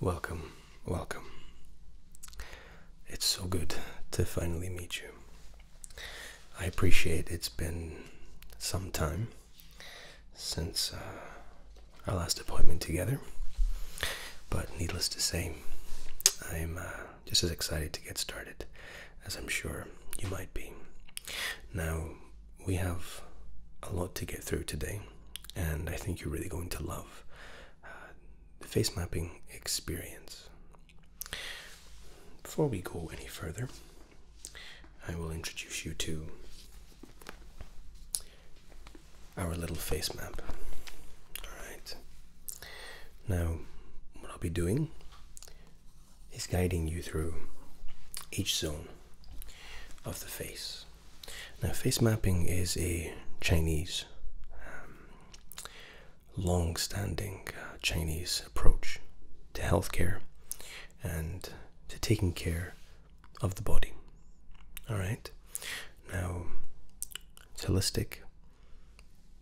Welcome, welcome. It's so good to finally meet you. I appreciate it's been some time since uh, our last appointment together, but needless to say, I'm uh, just as excited to get started as I'm sure you might be. Now, we have a lot to get through today, and I think you're really going to love uh, the face mapping experience. Before we go any further, I will introduce you to our little face map. Alright. Now, what I'll be doing is guiding you through each zone of the face. Now, face mapping is a Chinese, um, long standing uh, Chinese approach to healthcare and to taking care of the body. Alright? Now, it's holistic,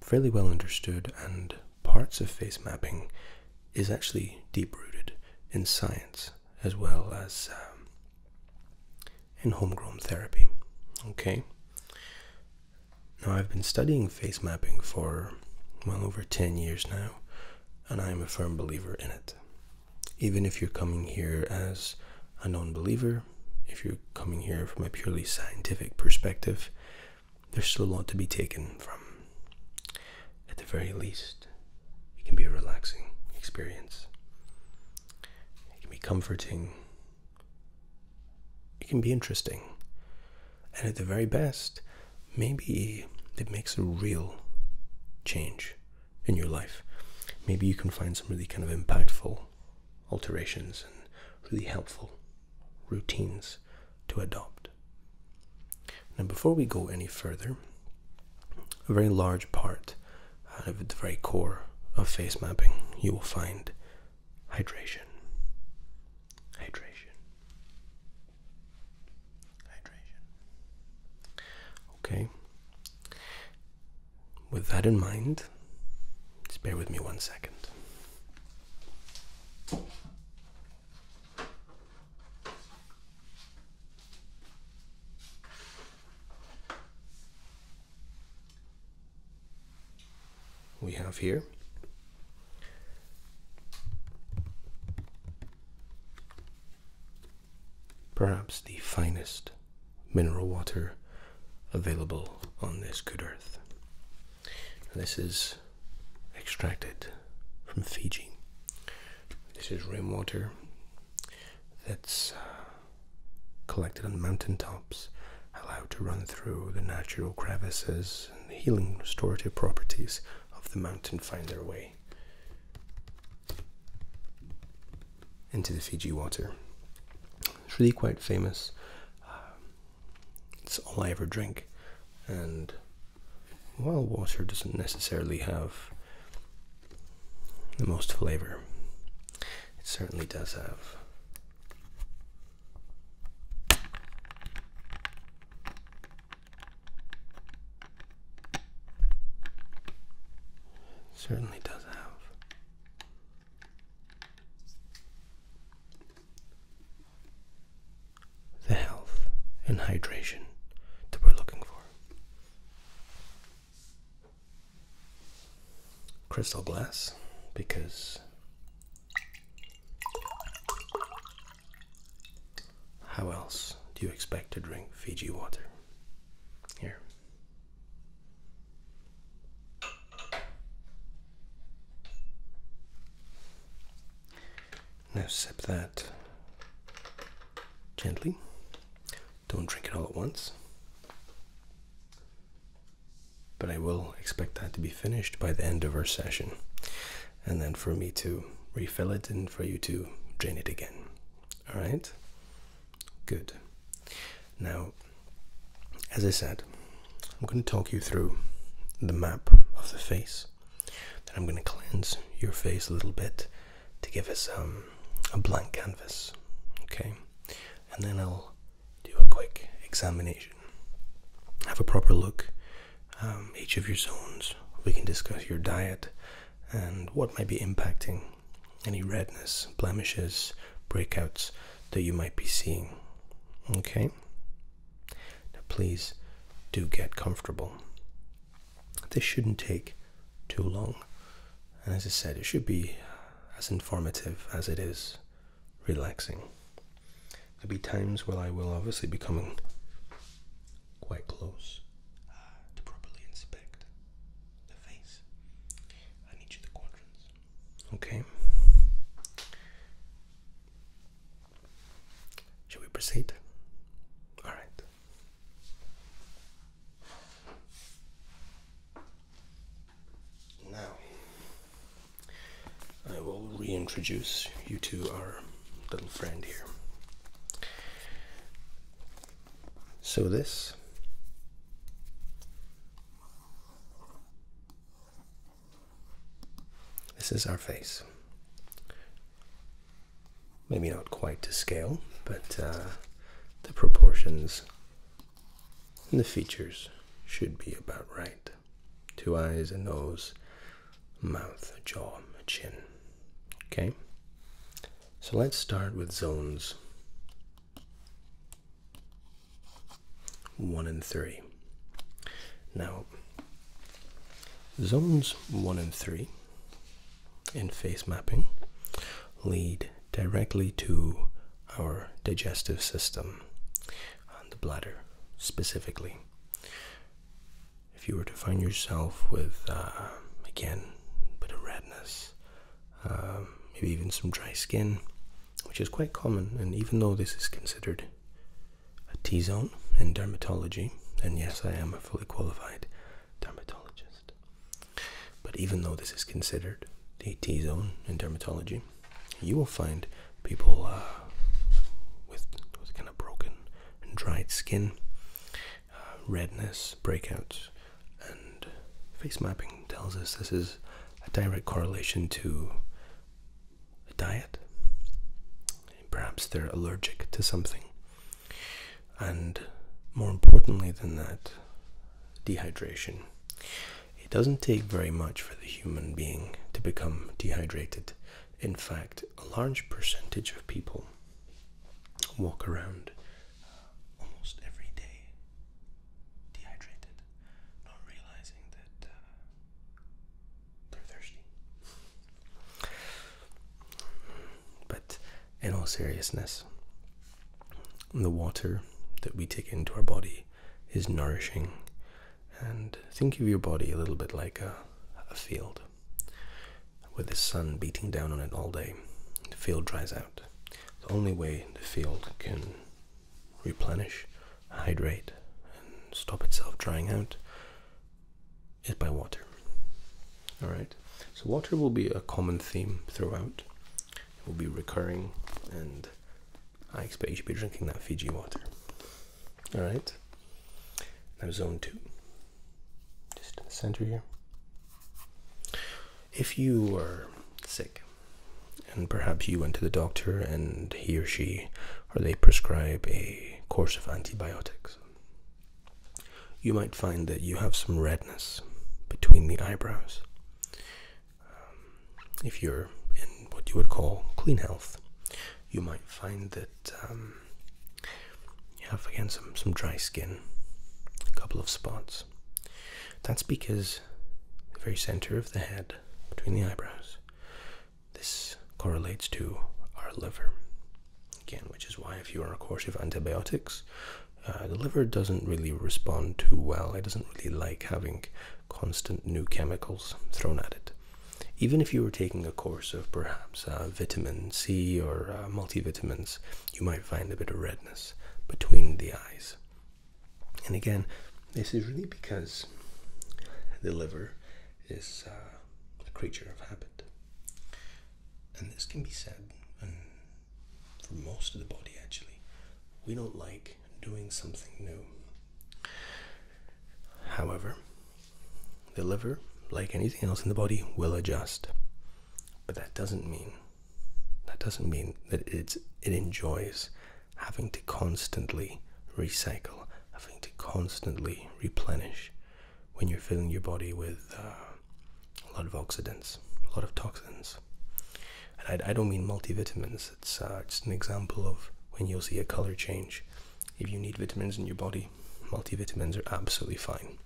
fairly well understood, and parts of face mapping is actually deep rooted in science as well as um, in homegrown therapy. Okay. Now, I've been studying face mapping for well over 10 years now, and I am a firm believer in it. Even if you're coming here as a non believer, if you're coming here from a purely scientific perspective, there's still a lot to be taken from at the very least, it can be a relaxing experience. It can be comforting. It can be interesting. And at the very best, maybe it makes a real change in your life. Maybe you can find some really kind of impactful alterations and really helpful routines to adopt. Now, before we go any further, a very large part of the very core of face mapping, you will find hydration. Hydration. Hydration. Okay. With that in mind, just bear with me one second we have here. Perhaps the finest mineral water available on this good earth. This is extracted from Fiji. This is rainwater that's uh, collected on mountain tops, allowed to run through the natural crevices and healing restorative properties of the mountain find their way into the Fiji water. It's really quite famous. it's all I ever drink, and while water doesn't necessarily have the most flavor. It certainly does have. It certainly does have the health and hydration that we're looking for. Crystal glass, because how else do you expect to drink Fiji water? Here. Now sip that gently. Don't drink it all at once. But I will expect that to be finished by the end of our session. And then for me to refill it and for you to drain it again. Alright? Good. Now, as I said, I'm going to talk you through the map of the face then I'm going to cleanse your face a little bit to give us um, a blank canvas. Okay? And then I'll do a quick examination. Have a proper look. Um, each of your zones. We can discuss your diet and what might be impacting any redness, blemishes, breakouts that you might be seeing. Okay? Now, please do get comfortable. This shouldn't take too long. And as I said, it should be as informative as it is relaxing. There'll be times where I will obviously be coming quite close uh, to properly inspect the face and each of the quadrants. Okay. Should we proceed? All right. Now, I will reintroduce you to our little friend here. So, this this is our face maybe not quite to scale, but uh, the proportions and the features should be about right. Two eyes, a nose, mouth, a jaw, a chin. Okay? So let's start with zones 1 and 3. Now, zones 1 and 3 in face mapping lead directly to our digestive system and the bladder specifically. If you were to find yourself with, uh, again, a bit of redness, um, maybe even some dry skin, which is quite common, and even though this is considered a T zone in dermatology, and yes, I am a fully qualified dermatologist. But even though this is considered the T zone in dermatology, you will find people uh, with, kind of broken and dried skin, uh, redness, breakouts, and face mapping tells us this is a direct correlation to a diet, Perhaps they're allergic to something. And more importantly than that, dehydration. It doesn't take very much for the human being to become dehydrated. In fact, a large percentage of people walk around uh, almost every day dehydrated, not realizing that uh, they're thirsty. But in all seriousness, the water that we take into our body is nourishing. And think of your body a little bit like a, field. With the sun beating down on it all day, the field dries out. The only way the field can replenish, hydrate, and stop itself drying out is by water. All right. So water will be a common theme throughout. It will be recurring, and I expect you to be drinking that Fiji water. All right. Now zone two. Just in the center here. If you are sick, and perhaps you went to the doctor and he or she or they prescribe a course of antibiotics you might find that you have some redness between the eyebrows um, if you're in what you would call clean health you might find that um, you have again some, some dry skin a couple of spots that's because the very center of the head between the eyebrows this correlates to our liver Again, which is why if you are on a course of antibiotics, uh, the liver doesn't really respond too well. It doesn't really like having constant new chemicals thrown at it. Even if you were taking a course of perhaps uh, vitamin C or uh, multivitamins, you might find a bit of redness between the eyes. And again, this is really because the liver is a creature of habit. And this can be said and for most of the body actually. We don't like doing something new. However, the liver, like anything else in the body, will adjust. But that doesn't mean that doesn't mean that it's it enjoys having to constantly recycle, having to constantly replenish when you're filling your body with uh, a lot of oxidants, a lot of toxins. And I, don't mean multivitamins, it's uh, an example of when you'll see a color change. If you need vitamins in your body, multivitamins are absolutely fine.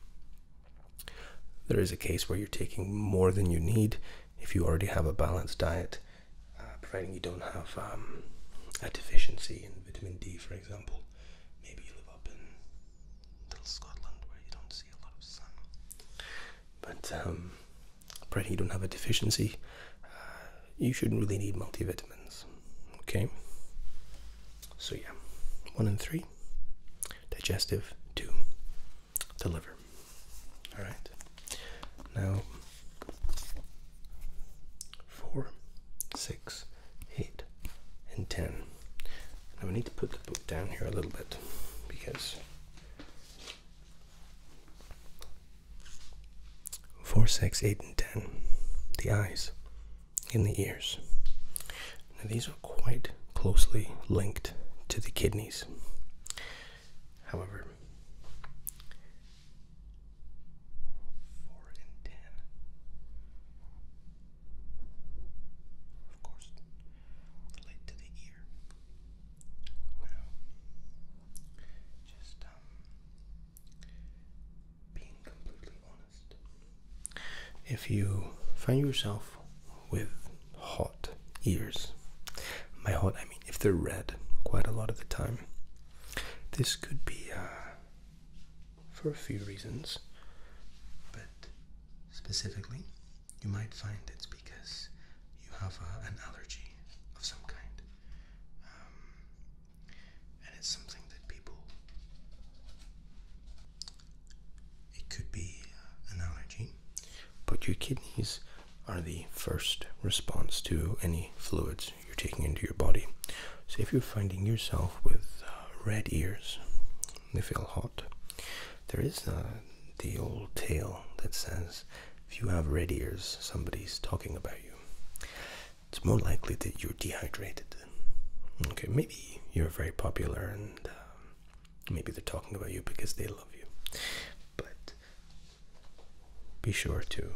There is a case where you're taking more than you need if you already have a balanced diet, uh, providing you don't have um, a deficiency in vitamin D, for example. Maybe you live up in little Scotland where you don't see a lot of sun. But um, you don't have a deficiency, uh, you shouldn't really need multivitamins. Okay? So, yeah, one and three digestive, two the liver. Alright? Now, four six, eight, and ten. Now we need to put the book down here a little bit because four, six, eight, and ten, the eyes and the ears. Now these are quite closely linked to the kidneys. However, of course, relate to the ear. Now, just um, being completely honest, if you find yourself with hot ears, my hot I mean if they're red quite a lot of the time, this could be uh, for a few reasons, but specifically, you might find it's because you have uh, an allergy of some kind, um, and it's something that people. It could be uh, an allergy, but your kidneys are the first response to any fluids you're taking into your body. So if you're finding yourself with uh, red ears, they feel hot. There is uh, the old tale that says if you have red ears, somebody's talking about you. It's more likely that you're dehydrated. Okay, maybe you're very popular and uh, maybe they're talking about you because they love you. But be sure to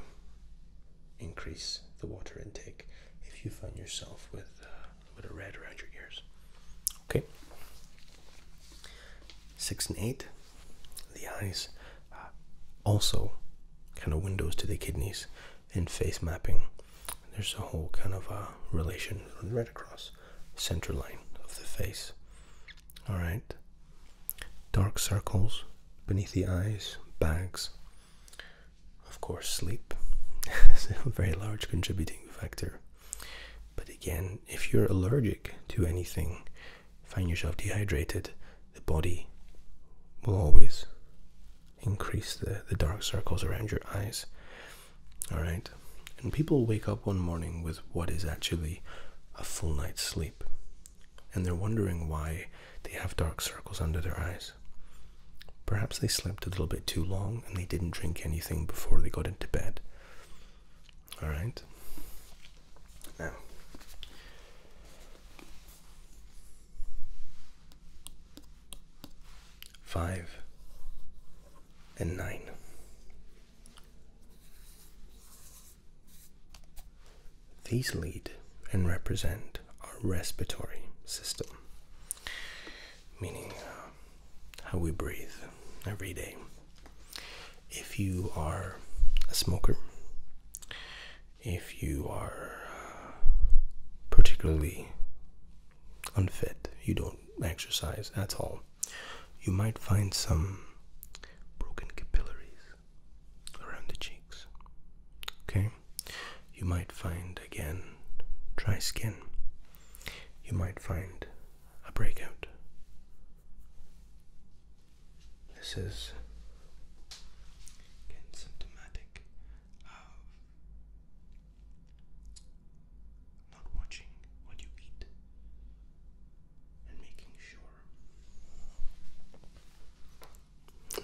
increase the water intake if you find yourself with uh, bit of red around your ears. Okay. Six and eight, the eyes uh, also kind of windows to the kidneys in face mapping. There's a whole kind of uh, relation right across center line of the face. All right. Dark circles beneath the eyes, bags. Of course, sleep is a very large contributing factor. But again, if you're allergic to anything, find yourself dehydrated, the body will always increase the, the dark circles around your eyes. Alright? And people wake up one morning with what is actually a full night's sleep. And they're wondering why they have dark circles under their eyes. Perhaps they slept a little bit too long and they didn't drink anything before they got into bed. Alright? Now, five and nine. These lead and represent our respiratory system meaning uh, how we breathe every day. If you are a smoker, if you are uh, particularly unfit, you don't exercise at all, you might find some broken capillaries around the cheeks. Okay? You might find again dry skin. You might find a breakout. This is again symptomatic of not watching what you eat and making sure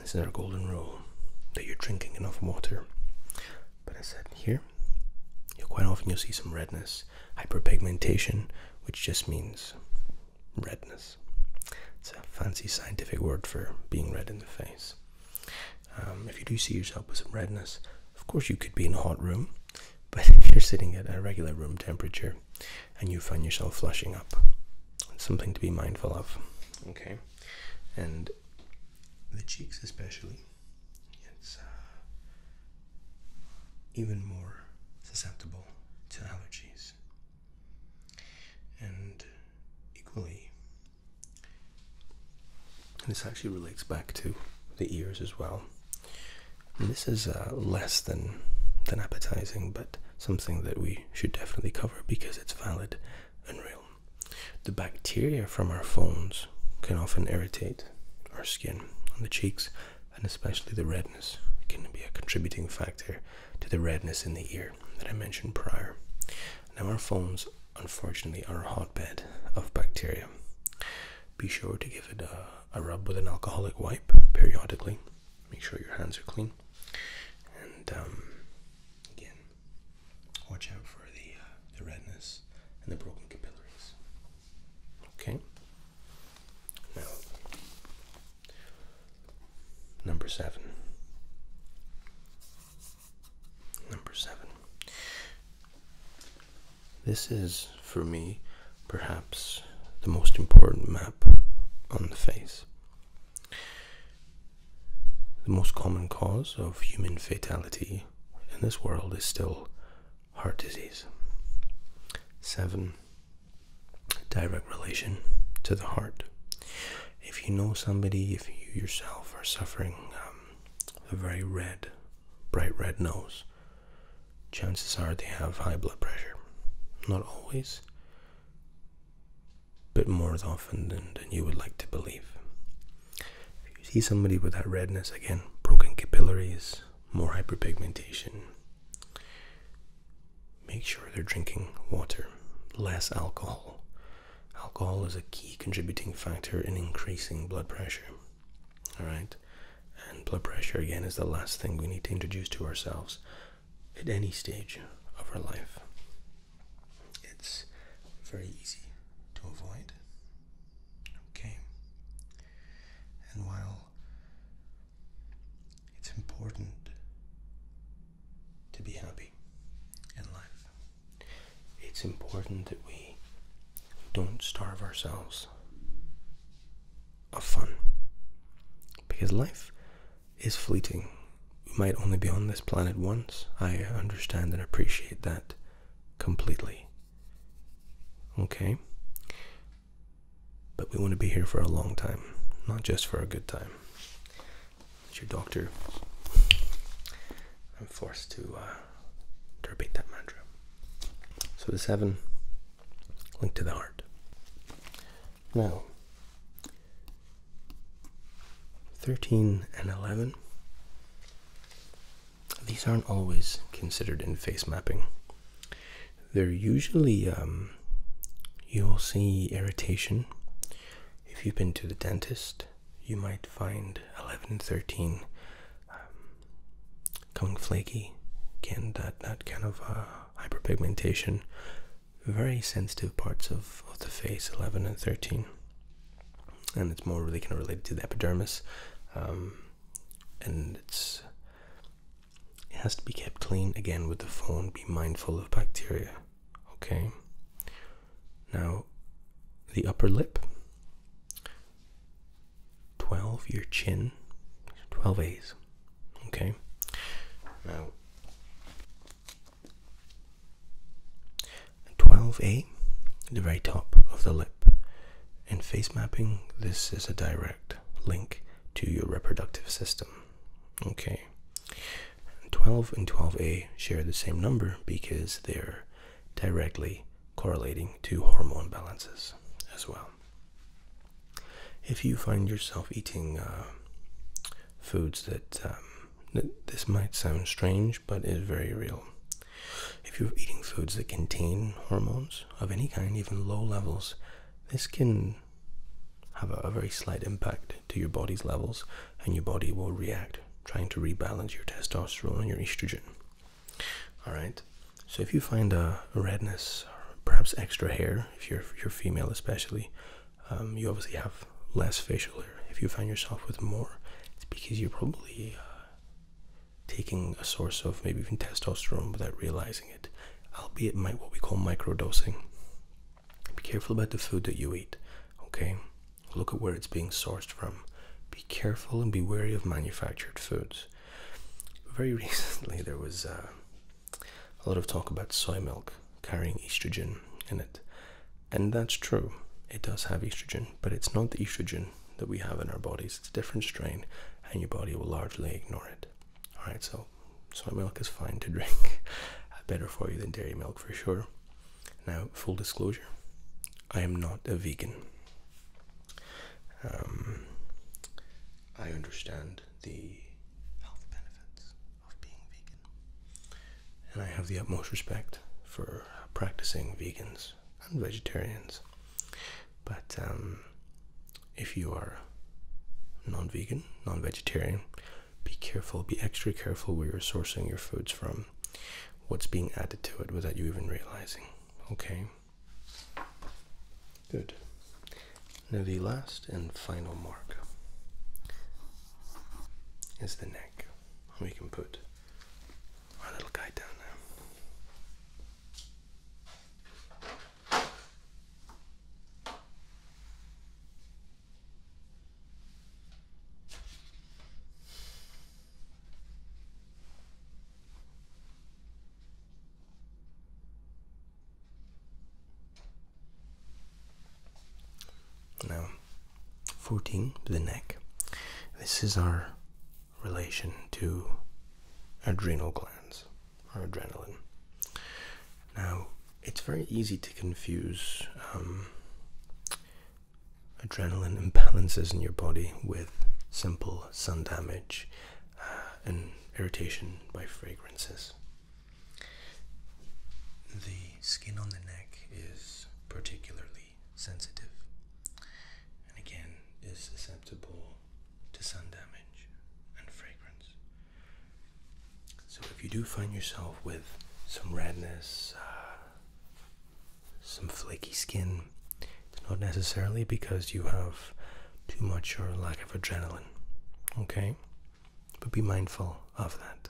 this is our golden rule that you're drinking enough water. But I said here, quite often you'll see some redness, hyperpigmentation, which just means redness. It's a fancy scientific word for being red in the face. Um, if you do see yourself with some redness, of course you could be in a hot room, but if you're sitting at a regular room temperature and you find yourself flushing up, it's something to be mindful of. Okay and the cheeks especially it's uh, even more susceptible to allergies and equally this actually relates back to the ears as well this is uh, less than than appetizing but something that we should definitely cover because it's valid Unreal. The bacteria from our phones can often irritate our skin on the cheeks and especially the redness can be a contributing factor to the redness in the ear that I mentioned prior. Now our phones unfortunately are a hotbed of bacteria. Be sure to give it a, rub with an alcoholic wipe periodically. Make sure your hands are clean. And um, again, watch out for uh, the, redness and the broken capillaries. Okay. Now, number seven. Number seven. This is, for me, perhaps the most important map on the face. The most common cause of human fatality in this world is still heart disease. 7. Direct relation to the heart. If you know somebody, if you yourself are suffering um, a very red, bright red nose, chances are they have high blood pressure. Not always, bit more often than, you would like to believe. If you see somebody with that redness, again, broken capillaries, more hyperpigmentation, make sure they're drinking water, less alcohol. Alcohol is a key contributing factor in increasing blood pressure. All right? And blood pressure, again, is the last thing we need to introduce to ourselves at any stage of our life. It's very easy to avoid. Okay. And while it's important to be happy in life, it's important that we don't starve ourselves of fun because life is fleeting. We might only be on this planet once. I understand and appreciate that completely. Okay? But we want to be here for a long time, not just for a good time. It's your doctor. I'm forced to, uh, to repeat that mantra. So the seven, linked to the heart. Now, 13 and 11. These aren't always considered in face mapping. They're usually, um, you'll see irritation. If you've been to the dentist, you might find 11 and 13 um, coming flaky, again, that, that kind of uh, hyperpigmentation very sensitive parts of, the face 11 and 13 and it's more really kind of related to the epidermis um, and it's it has to be kept clean again with the phone be mindful of bacteria okay now the upper lip 12 your chin 12 a's okay now 12A, the very top of the lip. In face mapping, this is a direct link to your reproductive system. Okay. 12 and 12A share the same number because they're directly correlating to hormone balances as well. If you find yourself eating uh, foods that um, this might sound strange, but is very real. If you're eating foods that contain hormones of any kind, even low levels, this can have a, very slight impact to your body's levels, and your body will react, trying to rebalance your testosterone and your estrogen. All right. So if you find a redness, or perhaps extra hair, if you're, if you're female especially, um, you obviously have less facial hair. If you find yourself with more, it's because you're probably uh, taking a source of maybe even testosterone without realizing it, albeit might what we call microdosing. Be careful about the food that you eat, okay? Look at where it's being sourced from. Be careful and be wary of manufactured foods. Very recently, there was uh, a lot of talk about soy milk carrying estrogen in it, and that's true. It does have estrogen, but it's not the estrogen that we have in our bodies. It's a different strain, and your body will largely ignore it. All right, so soy milk is fine to drink, better for you than dairy milk for sure. Now, full disclosure, I am not a vegan. Um, I understand the health benefits. And I have the utmost respect for practicing vegans and vegetarians. But um, if you are non vegan, non vegetarian, be careful, be extra careful where you're sourcing your foods from, what's being added to it without you even realizing. Okay? Good. Now, the last and final mark is the neck back. We can put our little guy down now. Now 14 the neck. This is our relation to adrenal glands or adrenaline. Now, it's very easy to confuse um, adrenaline imbalances in your body with simple sun damage uh, and irritation by fragrances. The skin on the neck is particularly sensitive and again is susceptible to sun damage and fragrance. So, if you do find yourself with some redness, uh, some flaky skin, it's not necessarily because you have too much or lack of adrenaline. Okay? But be mindful of that.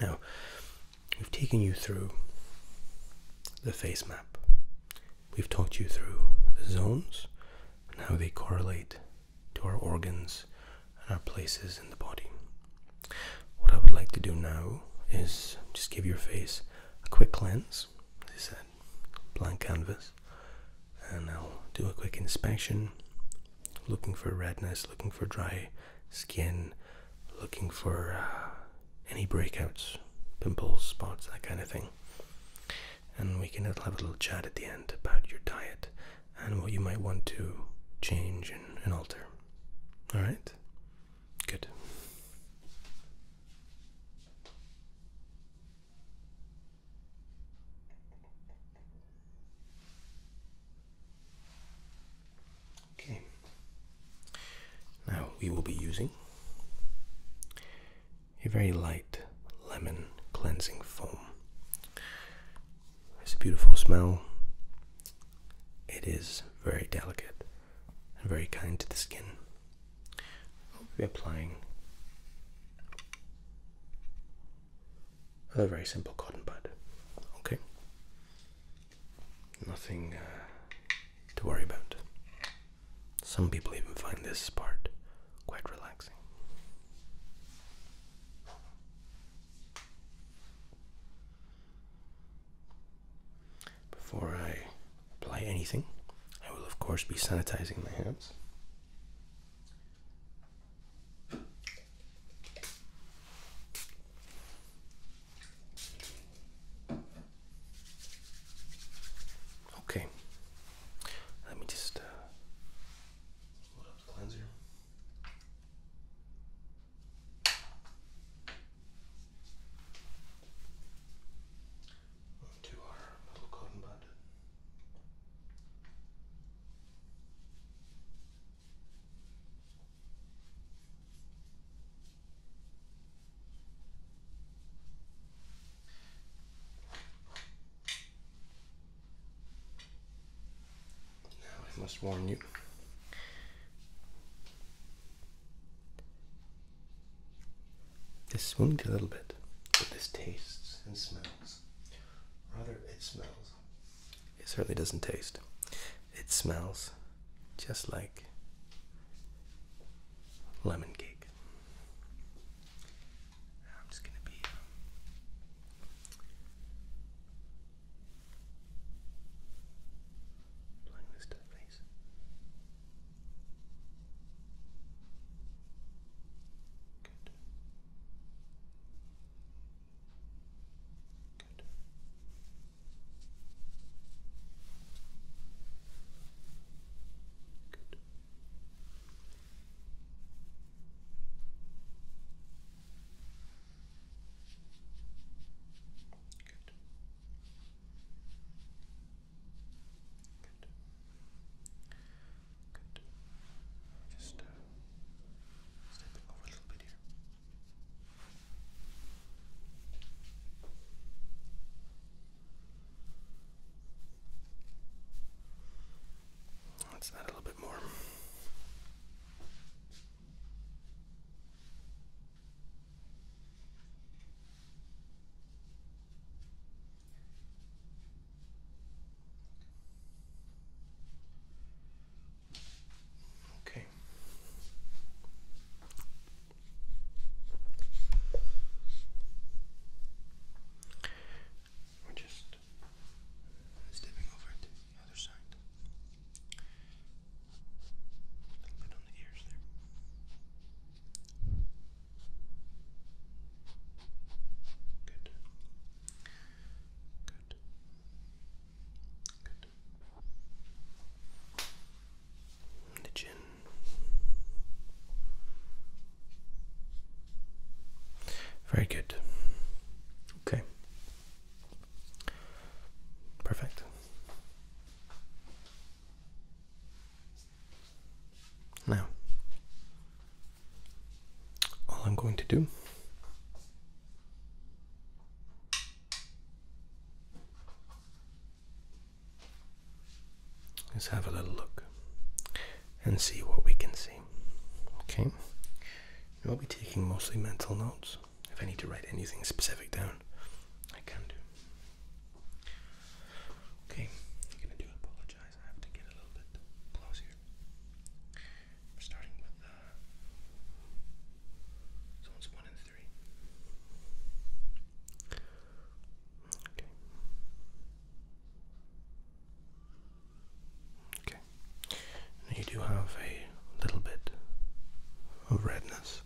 Now, we've taken you through the face map. We've talked you through the zones and how they correlate to our organs and our places in the body. What I would like to do now is just give your face a quick cleanse, as I said, blank canvas, and I'll do a quick inspection looking for redness, looking for dry skin, looking for uh, any breakouts, pimples, spots, that kind of thing. And we can have a little chat at the end about your diet and what you might want to change and alter. Alright? Good. Okay. Now we will be using a very light lemon cleansing foam. It's a beautiful smell. It is very delicate and very kind to the skin. We're applying a very simple cotton bud. Okay, nothing uh, to worry about. Some people even find this part quite relaxing. Before I apply anything, I will of course be sanitizing my hands. Okay. Let me just uh, the cleanser. to our little cotton bud. Now I must warn you. This spooned a little bit, but this tastes and smells. Rather, it smells it certainly doesn't taste. It smells just like lemon cake. I'm just going to be applying um, this to the face. Good. Good. Good. Good. Just stepping over a little Let's add a little bit more. Okay. We're just stepping over to the other side. A little bit on the ears there. Good. Good. Good. The chin. Very good. Okay. Perfect. Now, all I'm going to do Let's have a little look and see what we can see. Okay, I'll be taking mostly mental notes. If I need to write anything specific down, I can do. Okay, I'm gonna do apologize. I have to get a little bit closer. We're starting with uh, zones one and three. Okay. Okay. you do have a little bit of redness.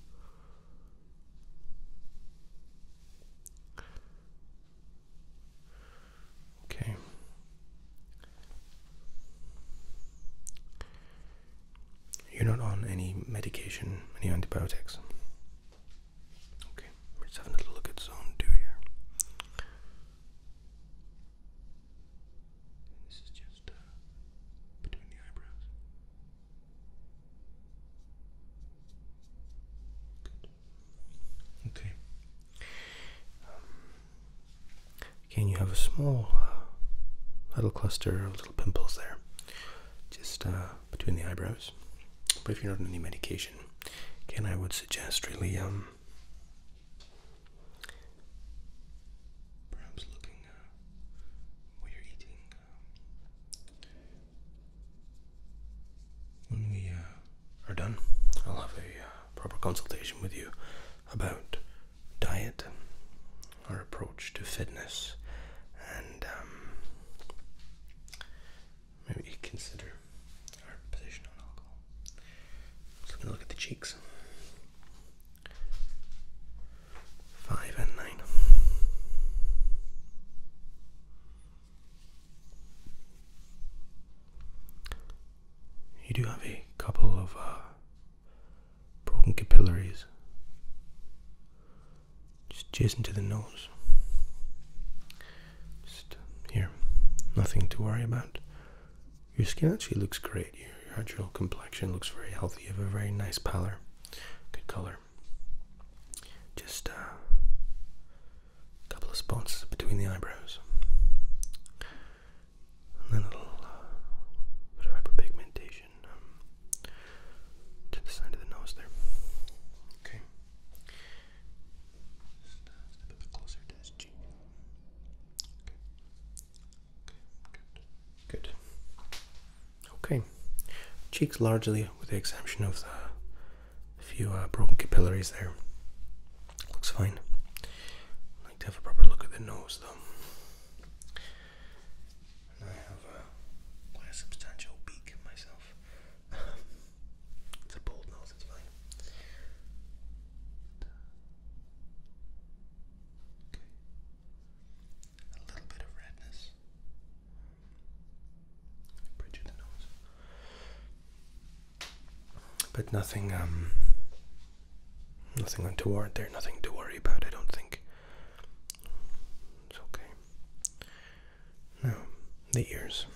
Okay. You're not on any medication, any antibiotics. Okay, we're just having look at zone two here. This is just uh, between the eyebrows. Okay. Um, Again, you have a small uh, little cluster of little pimples there, just uh, between the eyebrows. But if you're not on any medication, again, I would suggest really um, perhaps looking uh, what you're eating. Um, when we uh, are done, I'll have a proper consultation with you about diet, our approach to fitness, and um, maybe consider our position on alcohol. So we look at the cheeks. Five and nine you do have a couple of uh, broken capillaries just adjacent to the nose. Just uh, here, nothing to worry about. Your skin actually looks great. Your, your actual complexion looks very healthy. You have a very nice pallor, good color. Just uh, a couple of spots between the eyebrows a little uh, bit of hyperpigmentation um, to the side of the nose there. Okay. a bit uh, closer to his cheek. Okay. Good. Good. Okay. Cheeks largely, with the exception of the few uh, broken capillaries there. Looks fine like to have a proper look at the nose though. I have quite a substantial beak myself. it's a bold nose, it's fine. A little bit of redness. Bridge the nose but nothing um nothing untoward there nothing to worry about i don't think it's okay now the ears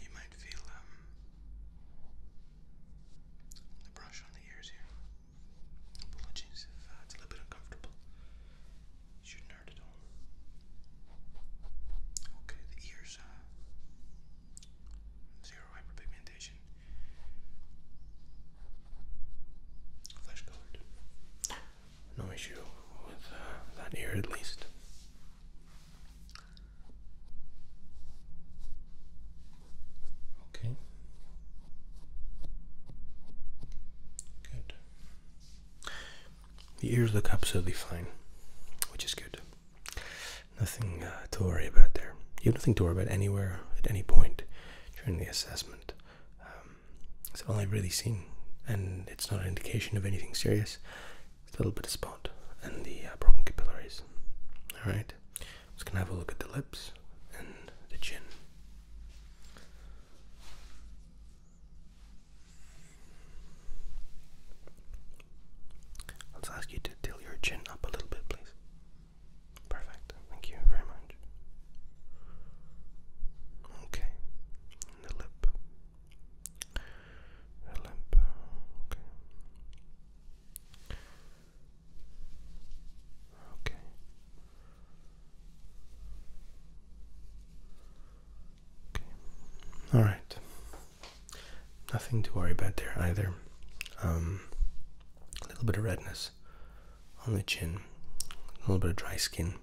you might feel um, the brush on the ears here. Apologies if uh, it's a little bit uncomfortable. shouldn't hurt at all. Okay, the ears, uh, zero hyperpigmentation. Flesh colored. No issue with uh, that ear at least. Okay. Good. The ears look absolutely fine, which is good. Nothing uh, to worry about there. You have nothing to worry about anywhere at any point during the assessment. Um, it's all I've really seen, and it's not an indication of anything serious. It's a little bit of spot and the uh, broken capillaries. All right perfect. I'm just gonna have a look at the lips and the chin. Let's ask you to tilt your chin up a little bit, please. Perfect. Thank you very much. Okay. the lip. The lip. Okay. Okay. Okay. All right. Nothing to worry about there either. Um, a little bit of redness on the chin, a little bit of dry skin,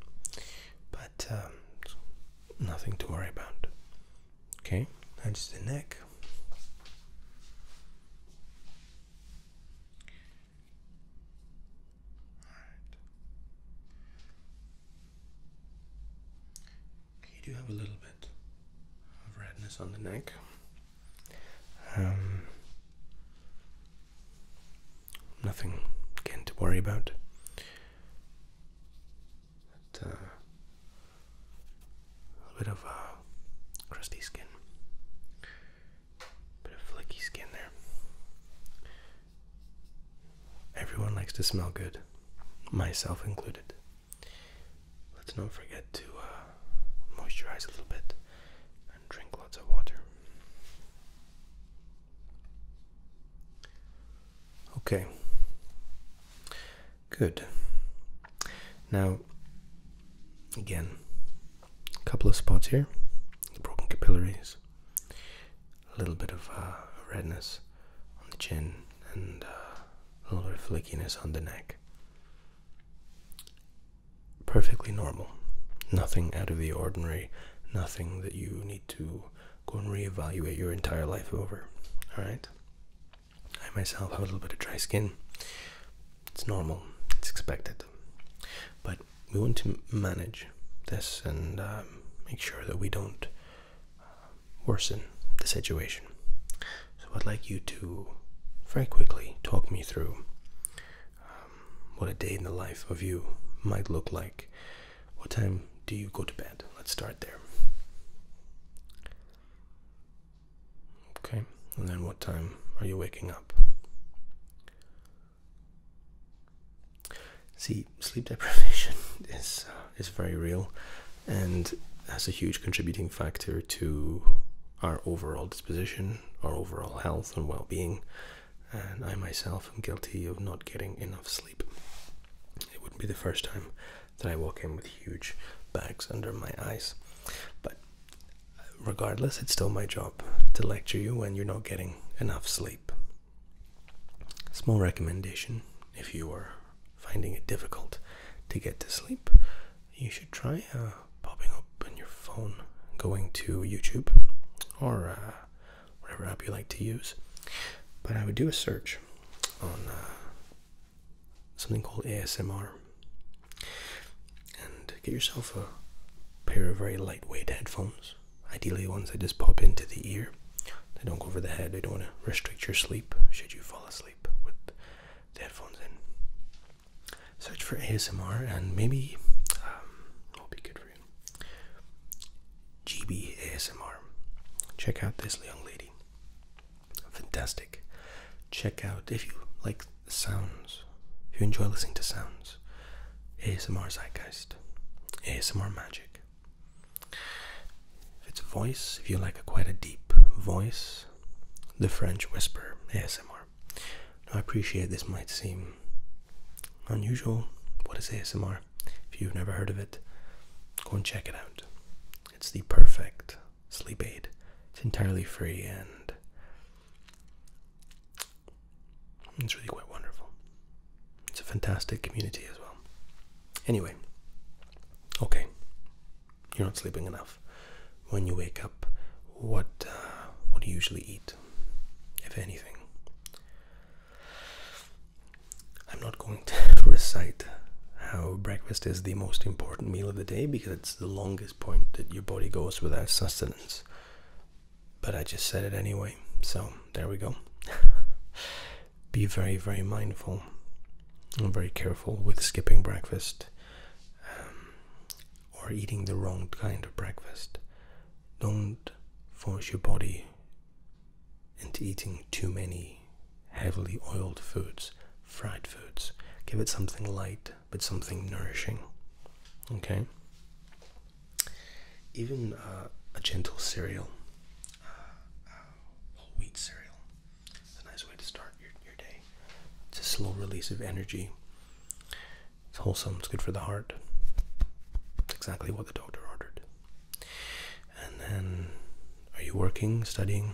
but um, nothing to worry about. Okay. That's the neck. You do have a little bit of redness on the neck. Um, nothing again to worry about. Uh, a little bit of uh, crusty skin, bit of flaky skin there. Everyone likes to smell good, myself included. Let's not forget to uh, moisturize a little bit and drink lots of water. Okay. Good. Now, again, a couple of spots here, broken capillaries, a little bit of uh, redness on the chin, and uh, a little bit of flakiness on the neck. Perfectly normal, nothing out of the ordinary, nothing that you need to go and reevaluate your entire life over. All right. I myself have a little bit of dry skin, it's normal, it's expected. But we want to manage this and uh, make sure that we don't uh, worsen the situation. So I'd like you to very quickly talk me through um, what a day in the life of you might look like. What time do you go to bed? Let's start there. Okay, and then what time are you waking up? See, sleep deprivation is uh, is very real, and has a huge contributing factor to our overall disposition, our overall health and well-being. And I myself am guilty of not getting enough sleep. It wouldn't be the first time that I walk in with huge bags under my eyes, but regardless, it's still my job to lecture you when you're not getting enough sleep. Small recommendation if you are finding it difficult to get to sleep, you should try uh, popping up on your phone, going to YouTube or uh, whatever app you like to use. But I would do a search on uh, something called ASMR and get yourself a pair of very lightweight headphones, ideally ones that just pop into the ear. They don't go over the head, they don't want to restrict your sleep should you fall asleep with the headphones in. Search for ASMR and maybe um, will be good for you. GB ASMR. Check out this young lady. Fantastic Check out if you like sounds, if you enjoy listening to sounds, ASMR Zeitgeist, ASMR Magic. If it's a voice, if you like quite a deep voice, the French Whisper ASMR. I appreciate this might seem unusual. What is ASMR? If you've never heard of it, go and check it out. It's the perfect sleep aid. It's entirely free and it's really quite wonderful. It's a fantastic community as well. Anyway, okay, you're not sleeping enough. When you wake up, what uh, what do you usually eat, if anything? I'm not going to recite how breakfast is the most important meal of the day because it's the longest point that your body goes without sustenance. But I just said it anyway, so there we go. Be very, very mindful and very careful with skipping breakfast um, or eating the wrong kind of breakfast. Don't force your body into eating too many heavily oiled foods, fried foods. Give it something light, but something nourishing. Okay? Even uh, a gentle cereal, whole uh, wheat cereal, is a nice way to start your, your day. It's a slow release of energy. It's wholesome, it's good for the heart. exactly what the doctor ordered. And then, are you working, studying?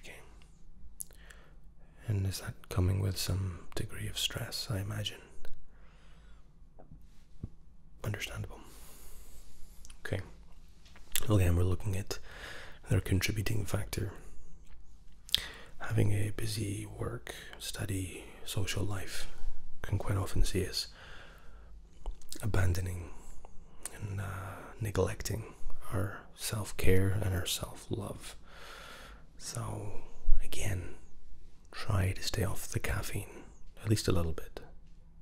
Okay. And is that coming with some degree of stress, I imagine? Understandable. Okay. Again, we're looking at their contributing factor. Having a busy work, study, social life can quite often see us abandoning and uh, neglecting our self care and our self love. So, again, try to stay off the caffeine, at least a little bit.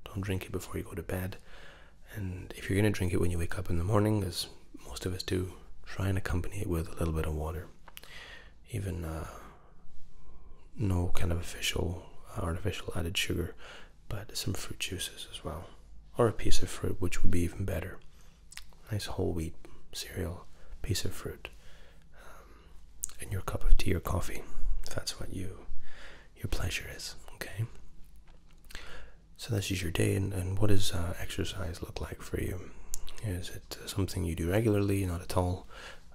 Don't drink it before you go to bed. And if you're going to drink it when you wake up in the morning, as most of us do, try and accompany it with a little bit of water. Even uh, no kind of official, artificial added sugar but some fruit juices as well, or a piece of fruit, which would be even better. Nice whole wheat cereal, piece of fruit, um, and your cup of tea or coffee, if that's what you your pleasure is. Okay. So that's just your day, and, what does uh, exercise look like for you? Is it something you do regularly? Not at all.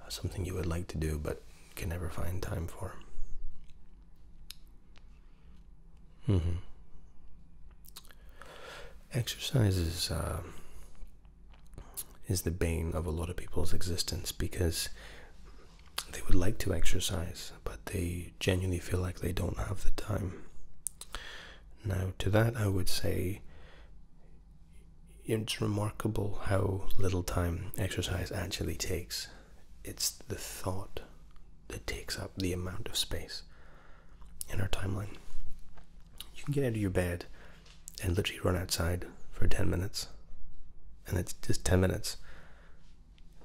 something you would like to do, but can never find time for mm Exercise uh, is the bane of a lot of people's existence because they would like to exercise, but they genuinely feel like they don't have the time. Now, to that, I would say it's remarkable how little time exercise actually takes it's the thought that takes up the amount of space in our timeline. You can get out of your bed and literally run outside for 10 minutes, and it's just 10 minutes.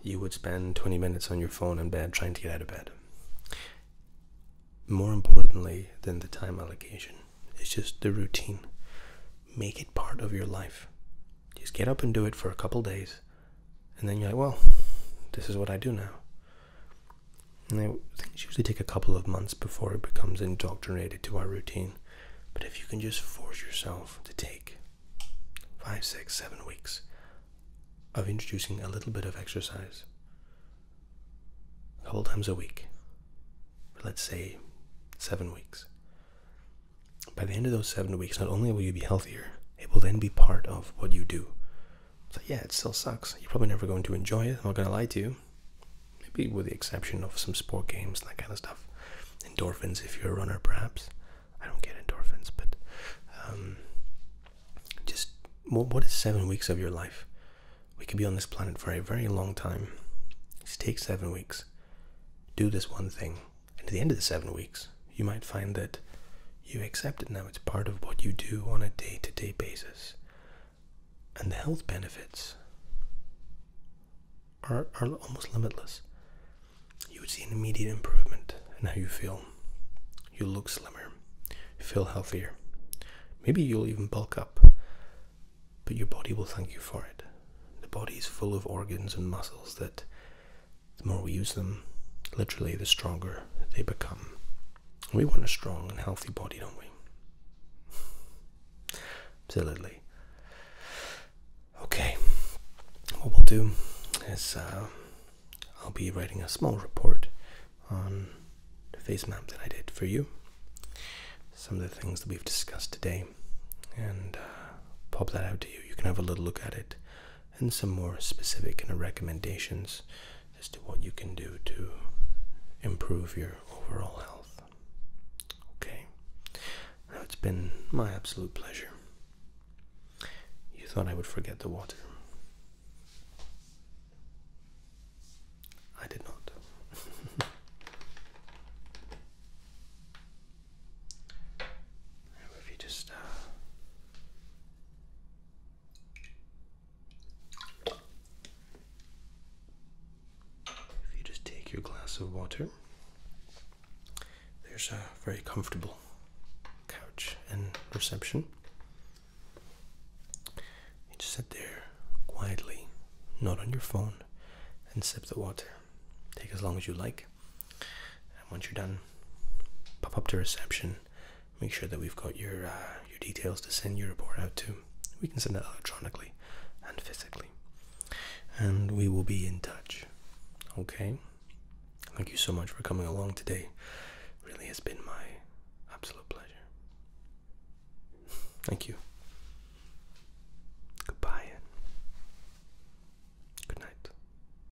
You would spend 20 minutes on your phone in bed trying to get out of bed. More importantly than the time allocation, it's just the routine. Make it part of your life. Just get up and do it for a couple days and then you're like, well, this is what I do now. And they, things usually take a couple of months before it becomes indoctrinated to our routine. But if you can just force yourself to take five, six, seven weeks of introducing a little bit of exercise a couple times a week, let's say seven weeks. By the end of those seven weeks, not only will you be healthier, it will then be part of what you do. So yeah, it still sucks. You're probably never going to enjoy it. I'm not gonna lie to you. Maybe with the exception of some sport games and that kind of stuff. Endorphins, if you're a runner, perhaps. I don't get endorphins, but um, just what is seven weeks of your life? We could be on this planet for a very long time. Just take seven weeks. Do this one thing and at the end of the seven weeks, you might find that you accept it now. It's part of what you do on a day to day basis. And the health benefits are, are almost limitless. You would see an immediate improvement in how you feel. You look slimmer, you feel healthier. Maybe you'll even bulk up, but your body will thank you for it. The body is full of organs and muscles that the more we use them, literally, the stronger they become. We want a strong and healthy body, don't we? Absolutely. Okay, what we'll do is uh, I'll be writing a small report on the face map that I did for you, some of the things that we've discussed today, and uh, pop that out to you. You can have a little look at it and some more specific kind of recommendations as to what you can do to improve your overall health. Okay, now it's been my absolute pleasure. You thought I would forget the water. I did not. if you just uh, if you just take your glass of water, there's a very comfortable couch and reception. You just sit there quietly, not on your phone, and sip the water. Take as long as you like. And once you're done, pop up to reception. Make sure that we've got your uh, your details to send your report out to. We can send that electronically and physically, and we will be in touch. Okay. Thank you so much for coming along today. Really has been my absolute pleasure. Thank you. Goodbye. Good night.